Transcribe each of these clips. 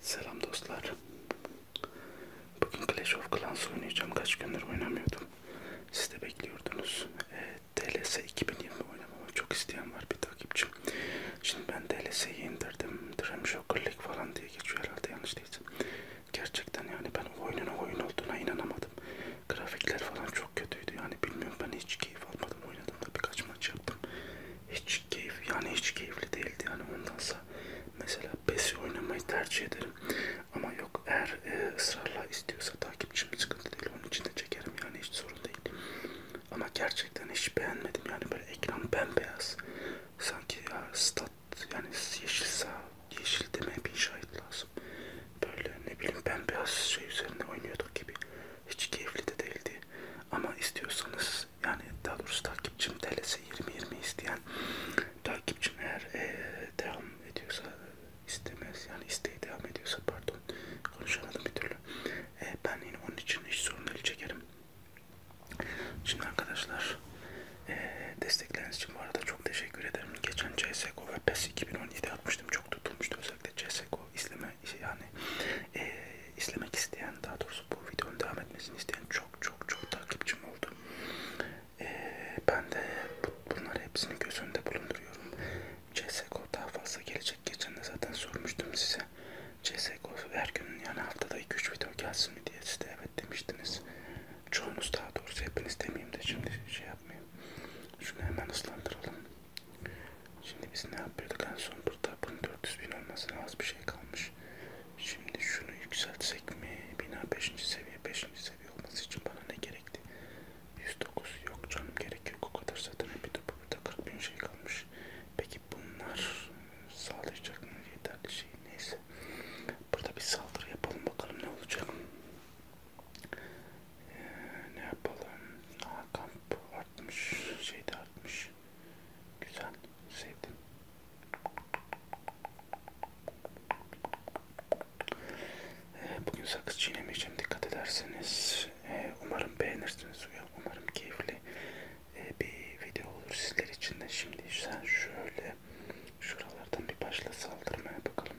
Selam dostlar. Bugün Clash of Clans oynayacağım. Kaç gündür oynamıyordum. Siz de bekliyordunuz. E, DLS 2020 oynamamı çok isteyen var bir takipçim. Şimdi ben DLS'yi indirdim. Dream Joker League falan diye geçiyor herhalde yanlış değilse. Gerçekten yani ben oyunun oyun olduğuna inanamadım. Grafikler falan çok kötüydü. Yani bilmiyorum ben hiç keyif almadım. Oynadım da birkaç maç yaptım hiç keyif yani hiç keyifli değildi yani ondansa mesela PES'i oynamayı tercih ederim ama yok eğer e, ısrarla istiyorsa takipçim sıkıntı değil onun için de çekerim yani hiç sorun değil ama gerçekten hiç beğenmedim yani böyle ekran bembeyaz sanki ya stat yani yeşil sağ yeşil demeye bir şahit lazım böyle ne bileyim bembeyaz şey üzerine oynuyorduk gibi hiç keyifli de değildi ama istiyorsanız yani daha doğrusu takipçim TLS 20-20 isteyen takipçim eğer e, devam ediyorsa istemez yani isteği devam ediyorsa pardon konuşamadım bir türlü e, ben yine onun için hiç sorun değil çekerim. Şimdi arkadaşlar e, destekleriniz için bu arada çok teşekkür ederim. Geçen CSGO ve PES 2017 atmıştım çok tutulmuştu özellikle CSGO izleme izleme şey yani e, izlemek isteyen daha doğrusu bu videonun devam etmesini isteyen çok çok çok takipçim oldu. E, ben de bu, bunları hepsini göz önünde bulunduruyorum. CSGO daha fazla gelecek. Geçen de zaten sormuştum size. CSGO her gün yani haftada 2-3 video gelsin mi diye siz de evet demiştiniz. Çoğunuz daha doğrusu hepiniz demeyeyim de şimdi şey yapmayayım. Şunu hemen ıslandıralım. Şimdi biz ne yapıyorduk en son burada? Bunun 400 bin olmasına az bir şey kalmış. Şimdi şunu yükseltsek mi? Bina 5. seviye 5. seviye olması için bana ne gerekti? 109 yok canım gerek yok o kadar zaten bir de burada 40 bin şey kalmış. Peki bunlar sağlayacak mı yeterli şey neyse. Burada bir saldırı yapalım bakalım ne olacak. Ee, ne yapalım? Aa, kamp artmış, şey de artmış. Güzel, sevdim. Ee, bugün sakız çiğnemeyeceğim. Dikkat ederseniz ee, umarım beğenirsiniz. Umarım keyifli ee, bir video olur sizler için de. Şimdi sen şöyle şuralardan bir başla saldırmaya bakalım.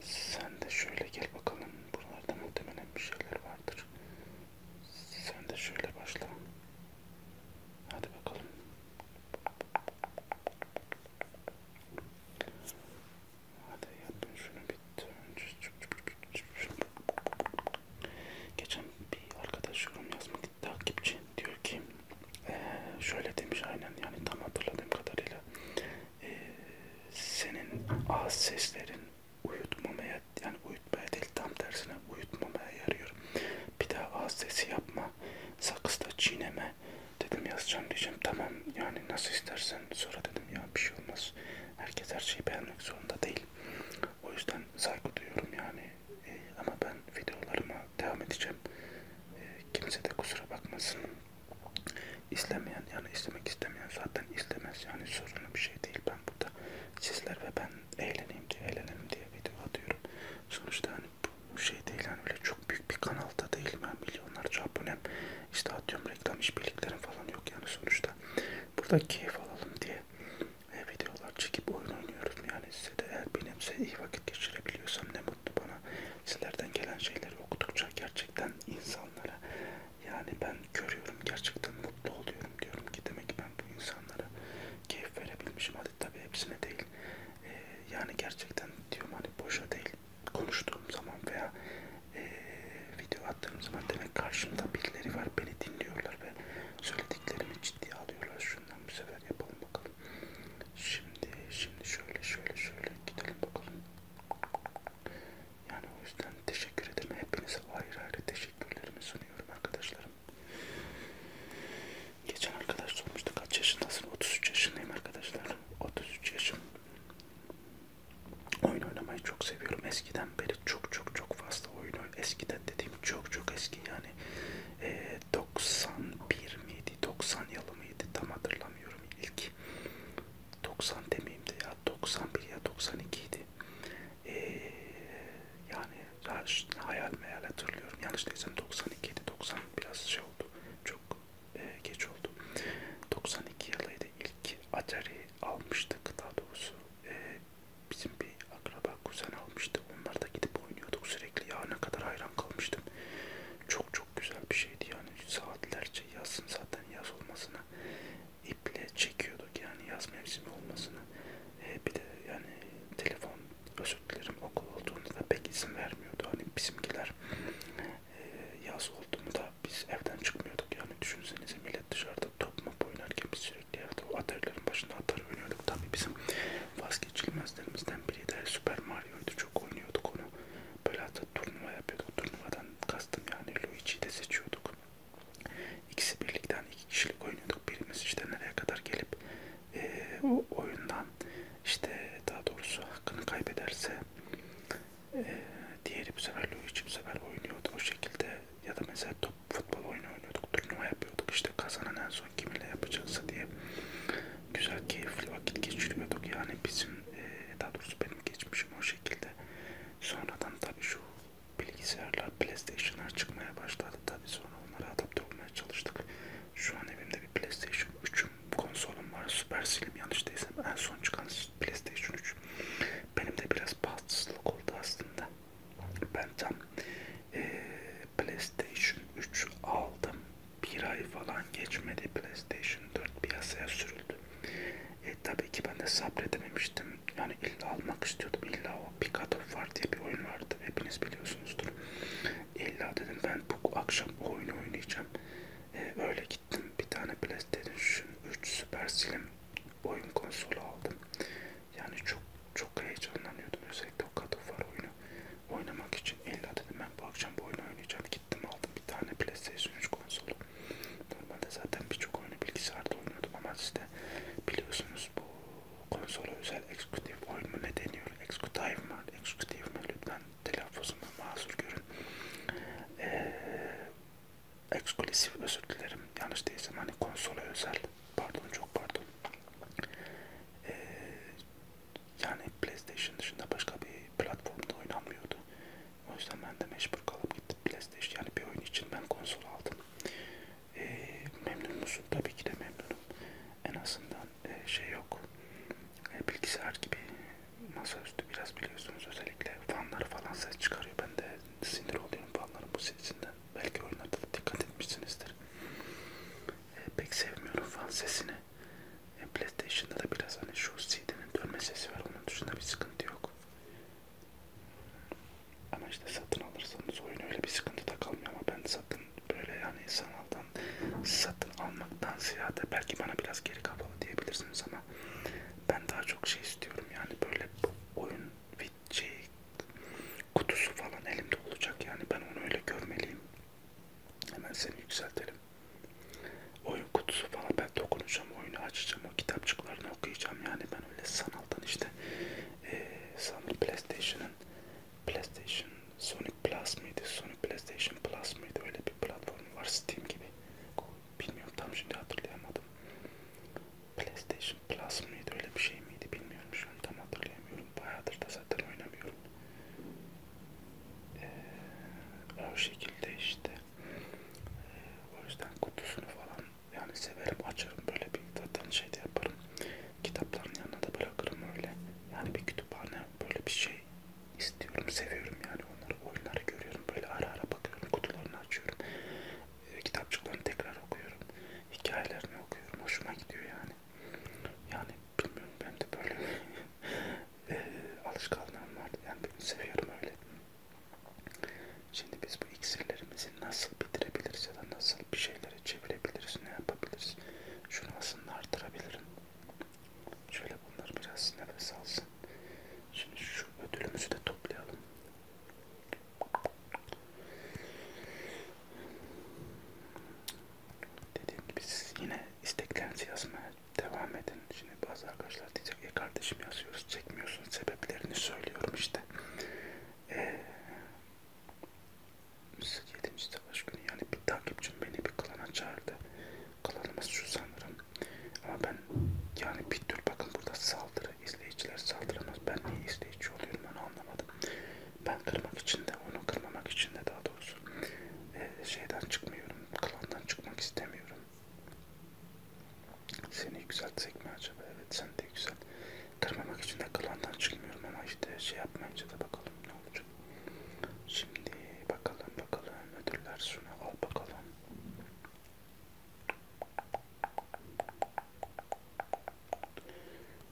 Sen de şöyle gel bakalım. Buralarda muhtemelen bir şeyler vardır. Sen de şöyle başla. Hadi bakalım. Hadi yapın şunu bitti. Geçen bir arkadaş yorum yazmak takipçi diyor ki ee, şöyle demiş aynen yani tam hatırladığım kadarıyla ee, senin ağız seslerin uyutmamaya yani uyutmaya değil tam tersine uyutmamaya yarıyor. Bir daha ağız sesi yapma, sakızda çiğneme dedim yazacağım diyeceğim tamam yani nasıl istersen sonra dedim ya bir şey olmaz. Herkes her şeyi beğenmek zorunda değil. O yüzden saygı duyuyorum yani e, ama ben videolarıma devam edeceğim. E, kimse de kusura bakmasın. İslemeyen yani istemek istemeyen zaten istemez yani sorunlu bir şey değil. Ben burada sizler ve ben eğleneyim diye eğlenelim diye video atıyorum. Sonuçta hani bu şey değil yani öyle çok büyük bir kanalda değilim ben yani milyonlarca abonem işte atıyorum reklam işbirliklerim falan yok yani sonuçta. Burada keyif alalım diye e, videolar çekip oyun oynuyoruz yani size de eğer benimse iyi vakit geçirebiliyorsam ne mutlu bana. Sizlerden gelen şeyleri okudukça gerçekten insanlara yani ben görüyorum gerçekten mutlu oluyorum diyorum ki demek ben bu insanlara keyif verebilmişim. Hadi tabii hepsine değil. Ee, yani gerçekten diyorum hani boşa değil. Konuştuğum zaman veya e, video attığım zaman demek karşımda birileri var beni dinliyorlar ve söylediklerimi ciddiye alıyorlar. Şundan bir sefer yapalım bakalım. Şimdi şimdi şöyle şöyle şöyle gidelim bakalım. Yani o yüzden teşekkür ederim. Hepinize ayrı ayrı teşekkürlerimi sunuyorum arkadaşlarım. Geçen arkadaş sormuştu kaç yaşındasın? 33 yaşındayım arkadaşlar. 33 yaşım. Oyun oynamayı çok seviyorum. Eskiden beri çok çok çok fazla oyun Eskiden dediğim çok çok eski yani e, 91 miydi? 90 yılı mıydı? Tam hatırlamıyorum. İlk 90 demeyeyim de ya 91 ya 92 idi. Ee, yani daha hayal meyal hatırlıyorum. Yanlış değilsem 92 idi. 90 biraz şey oldu. Çok e, geç oldu. 92 yılıydı ilk Atari almıştık daha doğrusu. E, bizim bir akraba kuzen almıştı. Onlar da gidip oynuyorduk sürekli. Ya ne kadar hayran kalmıştım. Çok çok güzel bir şeydi yani saatlerce yazsın zaten yaz olmasına iple çekiyorduk yani yaz mevsimi olmasına ee, bir de yani telefon özür dilerim okul olduğunda da pek izin vermiyordu hani bizimkiler e, yaz oldu mu da biz evden çıkmıyorduk yani düşünsenize millet dışarıda top mu oynarken biz sürekli evde o atarların başında atar oynuyorduk tabi bizim vazgeçilmezlerimizden biri de Super Mario'ydu çok oynuyorduk onu böyle hatta turnuva yapıyorduk turnuvada Luigi'den kastım yani Luigi'yi de seçiyorduk. İkisi birlikten hani iki kişilik oynuyorduk. Birimiz işte nereye kadar gelip e, o oyundan işte daha doğrusu hakkını kaybederse e, diğeri bu sefer Luigi bu sefer oynuyordu o şekilde ya da mesela top futbol oyunu oynuyorduk turnuva yapıyorduk işte kazanan en son kiminle yapacaksa diye güzel keyifli vakit geçiriyorduk yani bizim e, daha doğrusu benim geçmişim o şekilde sonradan tabi şu bilgisayarlar PlayStation'lar çıkmaya başladı tabi sonra onlara adapte olmaya çalıştık şu an evimde bir PlayStation 3'üm konsolum var Super Slim yanlış değilsem en son çıkan PlayStation 3 benim de biraz bahtsızlık oldu aslında ben tam e, PlayStation 3 aldım bir ay falan geçmedi PlayStation 4 piyasaya sürüldü. E tabii ki ben de sabredememiştim. Yani illa almak istiyordum. İlla o Pick of War diye bir oyun vardı. Hepiniz biliyorsunuzdur. İlla dedim ben bu akşam o oyunu oynayacağım. E, öyle gittim. Bir tane PlayStation 3 Super Slim oyun konsolu aldım. Yani çok çok heyecanlanıyordum özellikle o God of War oyunu. Oynamak için illa dedim ben bu akşam bu oyunu oynayacağım. Gittim aldım bir tane PlayStation 3 konsolu. Normalde zaten birçok oyunu bilgisayarda oynuyordum ama işte biliyorsunuz bu konsola özel executive oyun mu ne deniyor? Executive mi? Executive mi? Lütfen telaffuzuma mazur görün. Ee, eksklusif özür dilerim. Yanlış değilsem hani konsola özel. Pardon çok pardon. Ee, yani PlayStation dışında başka bir platformda oynanmıyordu. O yüzden ben de mecbur kalıp gittim PlayStation yani bir oyun için ben konsol aldım. E, memnun musun? Tabii ki de memnunum. En azından e, şey yok. E, bilgisayar gibi masaüstü biraz biliyorsunuz özellikle fanlar falan ses çıkarıyor. Ben de sinir oluyorum fanların bu sesinden. Belki oyunlarda da dikkat etmişsinizdir. E, pek sevmiyorum fan sesini. E, PlayStation'da da biraz hani şu CD'nin dönme sesi var. Onun dışında bir sıkıntı yok. Ama işte satın alırsanız oyun öyle bir sıkıntı da kalmıyor ama ben satın böyle yani sanaldan satın almaktan ziyade belki bana biraz geri kapalı diyebilirsiniz ama ben daha çok şey istiyorum yani böyle oyun şey, kutusu falan elimde olacak yani ben onu öyle görmeliyim Hemen seni yükseltelim. Oyun kutusu falan ben dokunacağım, oyunu açacağım, o kitapçıklarını okuyacağım. Yani ben öyle sanaldan işte e, sanırım PlayStation'ın PlayStation Sonic Plus mıydı? Sonic PlayStation Plus mıydı? Öyle bir platformu var Steam gibi. Bilmiyorum tam şimdi hatırlayamadım. PlayStation Plus mıydı? Öyle bir şey miydi? Bilmiyorum şu an tam hatırlayamıyorum. Bayağıdır da zaten oynamıyorum. Ee, o şekilde işte ee, o yüzden kutusunu falan yani severim açarım böyle bir zaten şey de yaparım kitapların yanına da bırakırım öyle yani bir kütüphane böyle bir şey istiyorum seviyorum yani onları oyunları görüyorum böyle ara ara bakıyorum kutularını açıyorum e, ee, kitapçıklarını tekrar okuyorum hikayelerini okuyorum hoşuma gidiyor yani yani bilmiyorum ben de böyle e, alışkanlığım var. Yani ben seviyorum öyle. Şimdi biz bu iksirlerimizi nasıl bitirebiliriz ya da nasıl bir şeylere çevirebiliriz, ne yapabiliriz? Şunu aslında artırabilirim. Şöyle bunlar biraz nefes alsın. Şimdi şu ödülümüzü de toplayalım. Dediğim gibi siz yine isteklerinizi yazmaya devam edin. Şimdi bazı arkadaşlar diyecek ya e kardeşim yazıyoruz çekmiyorsun sebeplerini söylüyorum işte. Eee... 7. savaş günü yani bir takipçim beni bir klana çağırdı. Klanımız şu sanırım. Ama ben yani bir tür bakın burada saldırı izleyiciler saldıramaz. Ben niye izleyici oluyorum onu anlamadım ben kırmak için de onu kırmamak için de daha doğrusu e, şeyden çıkmıyorum klandan çıkmak istemiyorum seni yükseltsek mi acaba evet sen de güzel kırmamak için de klandan çıkmıyorum ama işte şey yapmayınca da bakalım ne olacak şimdi bakalım bakalım ödüller şunu al bakalım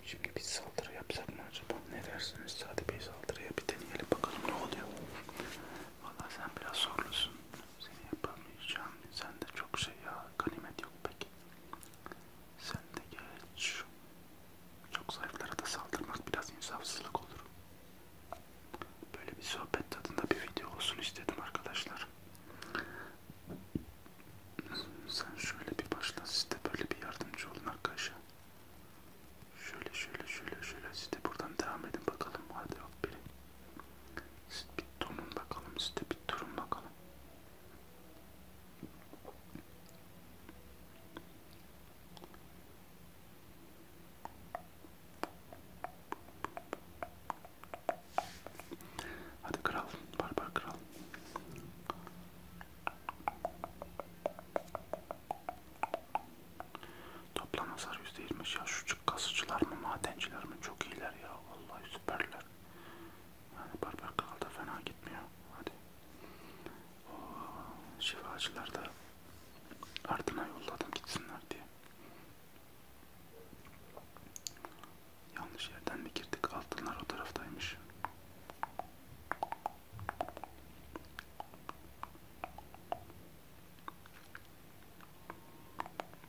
Şimdi bir saldırı yapsak mı acaba? Ne dersiniz? Sade Bey saldırıya bir deneyelim bakalım ne oluyor. Valla sen biraz zorlusun. Seni yapamayacağım. Sen de çok şey ya. Ganimet yok peki. Sen de geç. Çok zayıflara da saldırmak biraz insafsızlık olur. Böyle bir sohbet tadında bir video olsun istedim arkadaşlar sen şöyle bir başla siz de böyle bir yardımcı olun arkadaşlar. Şöyle şöyle şöyle şöyle siz de buradan devam edin bakalım hadi hop biri. Siz bir donun bakalım siz de bir durun bakalım. Hadi kral, barbar kral. Toplam hasar %20 ya şu çık kasıcılar mı madenciler mi çok iyiler ya vallahi süperler. Yani barbar kral da fena gitmiyor. Hadi. Oo, şifacılar da ardına yolladım gitsinler diye. Yanlış yerden mi girdik? Altınlar o taraftaymış.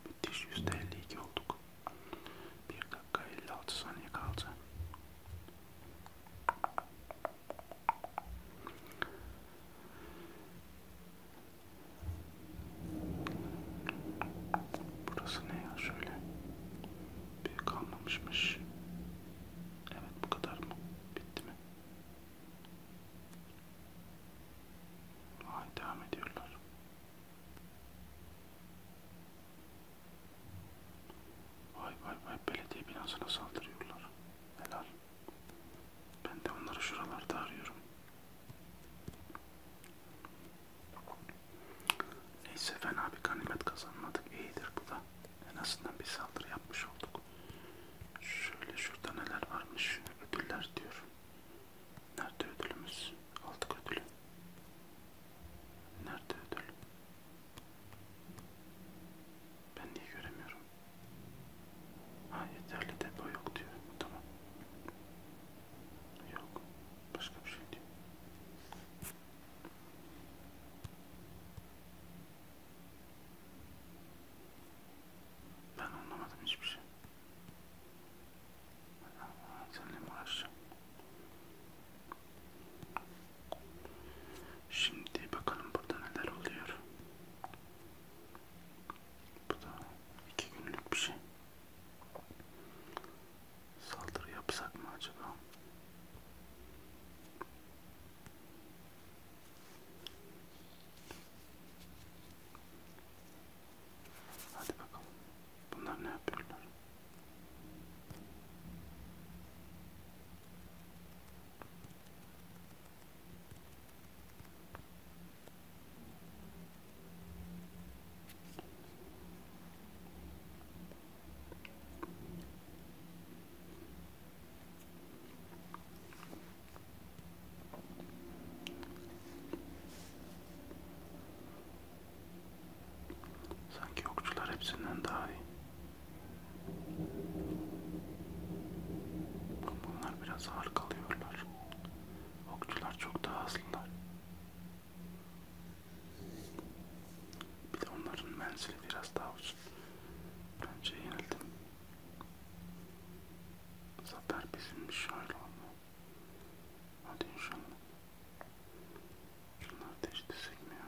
Müthiş %52 olduk. 1 dakika 56 saniye kaldı. Burası ne ya şöyle Büyük almamışmış. Evet bu kadar mı? Bitti mi? Vay devam ediyorlar. Vay vay vay belediye binasına saldırıyorlar. Helal. Ben de onları şuralarda arıyorum. Neyse fena bir ganimet kazanmadık. İyidir bu da. En azından bir saldırı yapmış olduk. Şöyle şurada neler varmış. Ödüller diyor. Nerede ödülümüz? Aldık ödülü. Nerede ödül? Ben niye göremiyorum? Ha yeterli depo yok diyor. Tamam. Yok. Başka bir şey değil. Ben anlamadım hiçbir şey. Seninle mi uğraşacağım? Şimdi bakalım burada neler oluyor. Bu da iki günlük bir şey. Saldırı yapsak mı acaba? Hadi bakalım. Bunlar ne yapıyorlar? Sanki okçular hepsinden daha iyi. Bunlar biraz ağır kalıyorlar. Okçular çok daha hızlılar. Bir de onların menzili biraz daha uzun. Bence yenildim. Zafer bizimmiş hala ama. Hadi inşallah. Şunları değiştirsek mi ya?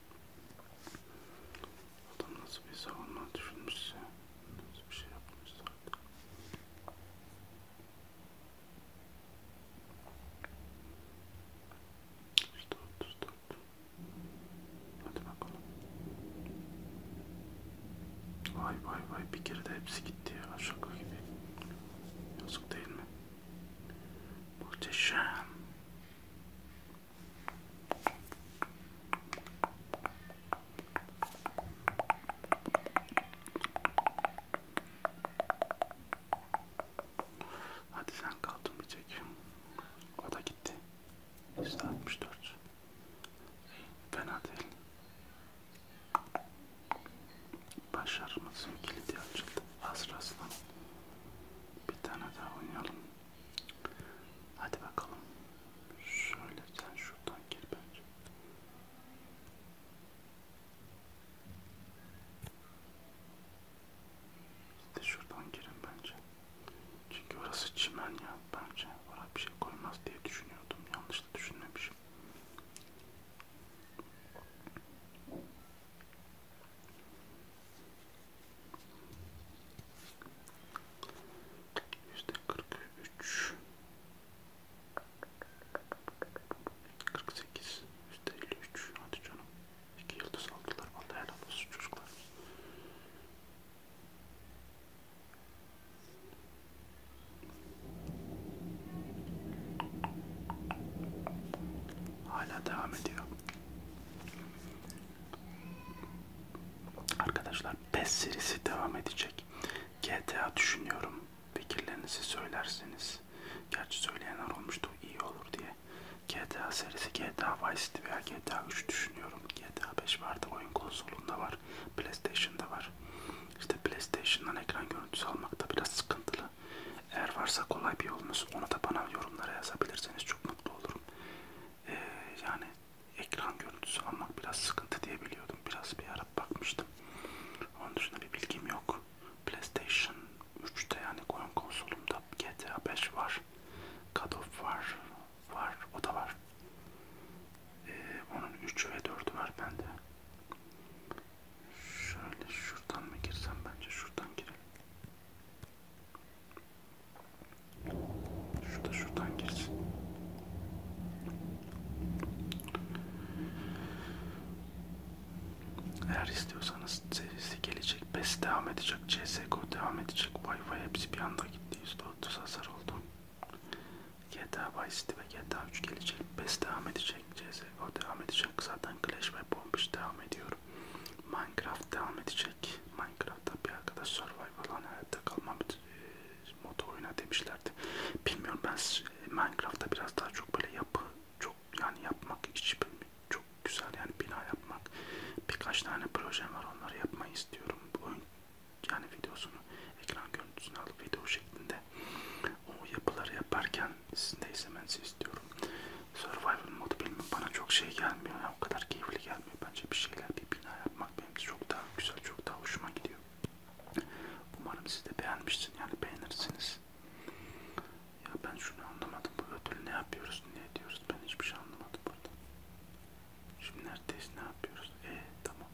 Adam nasıl bir savunma düşünmüşse, nasıl bir şey yapmışsa artık. Stop, stop. Hadi bakalım. Vay vay vay bir kere de hepsi gitti ya şaka gibi. Yazık değil mi? Muhteşem. Hadi sen kaldın bir çek. O da gitti. 164. Fena değil. Başarımızın kilidi açıldı. Az rastlan. Bir tane daha oynayalım. Hadi bakalım. Şöyle sen şuradan gir bence. Siz de şuradan girin bence. Çünkü orası çimen ya bence. Oraya bir şey koymaz diye düşünüyordum. Yanlış da düşünmemişim. Yüzde kırk üç, kırk sekiz, yüzde elli üç. Hadi canım, iki yıldız aldılar. Vallahi helal olsun çocuklar. Hala devam ediyor. Arkadaşlar PES serisi devam edecek. GTA düşünüyorum. Fikirlerinizi söylerseniz. Gerçi söyleyenler olmuştu iyi olur diye. GTA serisi GTA Vice City veya GTA 3 düşünüyorum. GTA 5 vardı oyun konsolunda var. PlayStation'da var. İşte PlayStation'dan ekran görüntüsü almakta biraz sıkıntılı. Eğer varsa kolay bir yolunuz onu da bana yorumlara yazabilirseniz çok mutlu olurum. Ee, yani ekran görüntüsü almak biraz sıkıntı diye biliyordum. Biraz bir ara bakmıştım. Onun dışında bir bilgim yok. PlayStation 3'te yani oyun konsolumda GTA 5 var. God of var. Var. O da var. Ee, onun 3 ve 4'ü var bende. Şöyle şuradan mı girsem bence şuradan girelim. Şurada şuradan girsin. Eğer istiyorsanız serisi gelecek, PES devam edecek, CSGO devam edecek, Wi-Fi hepsi bir anda gitti. %30 hasar oldu. GTA Vice City ve GTA 3 gelecek, PES devam edecek, CSGO devam edecek. Zaten Clash ve Bombiş devam ediyor. Minecraft devam edecek. Minecraft'ta bir arkadaş Survivor'la hani hayatta kalma e, modu oyna demişlerdi. Bilmiyorum ben Minecraft'ta biraz daha çok böyle yapı çok yani yapmak hiç çok güzel yani bina yapmak birkaç tane projem var onları yapmayı istiyorum. Oyun yani videosunu ekran görüntüsünü alıp video şeklinde o yapıları yaparken sizin de izlemenizi istiyorum. Survival modu bilmiyorum bana çok şey gelmiyor ya o kadar keyifli gelmiyor bence bir şeyler bir bina yapmak benim çok daha güzel çok daha hoşuma gidiyor. Umarım siz de beğenmişsin yani beğenirsiniz. Ya ben şunu anlamadım bu ödül ne yapıyoruz ne diyoruz ben hiçbir şey anlamadım burada. Şimdi neredeyiz ne yapıyoruz e tamam.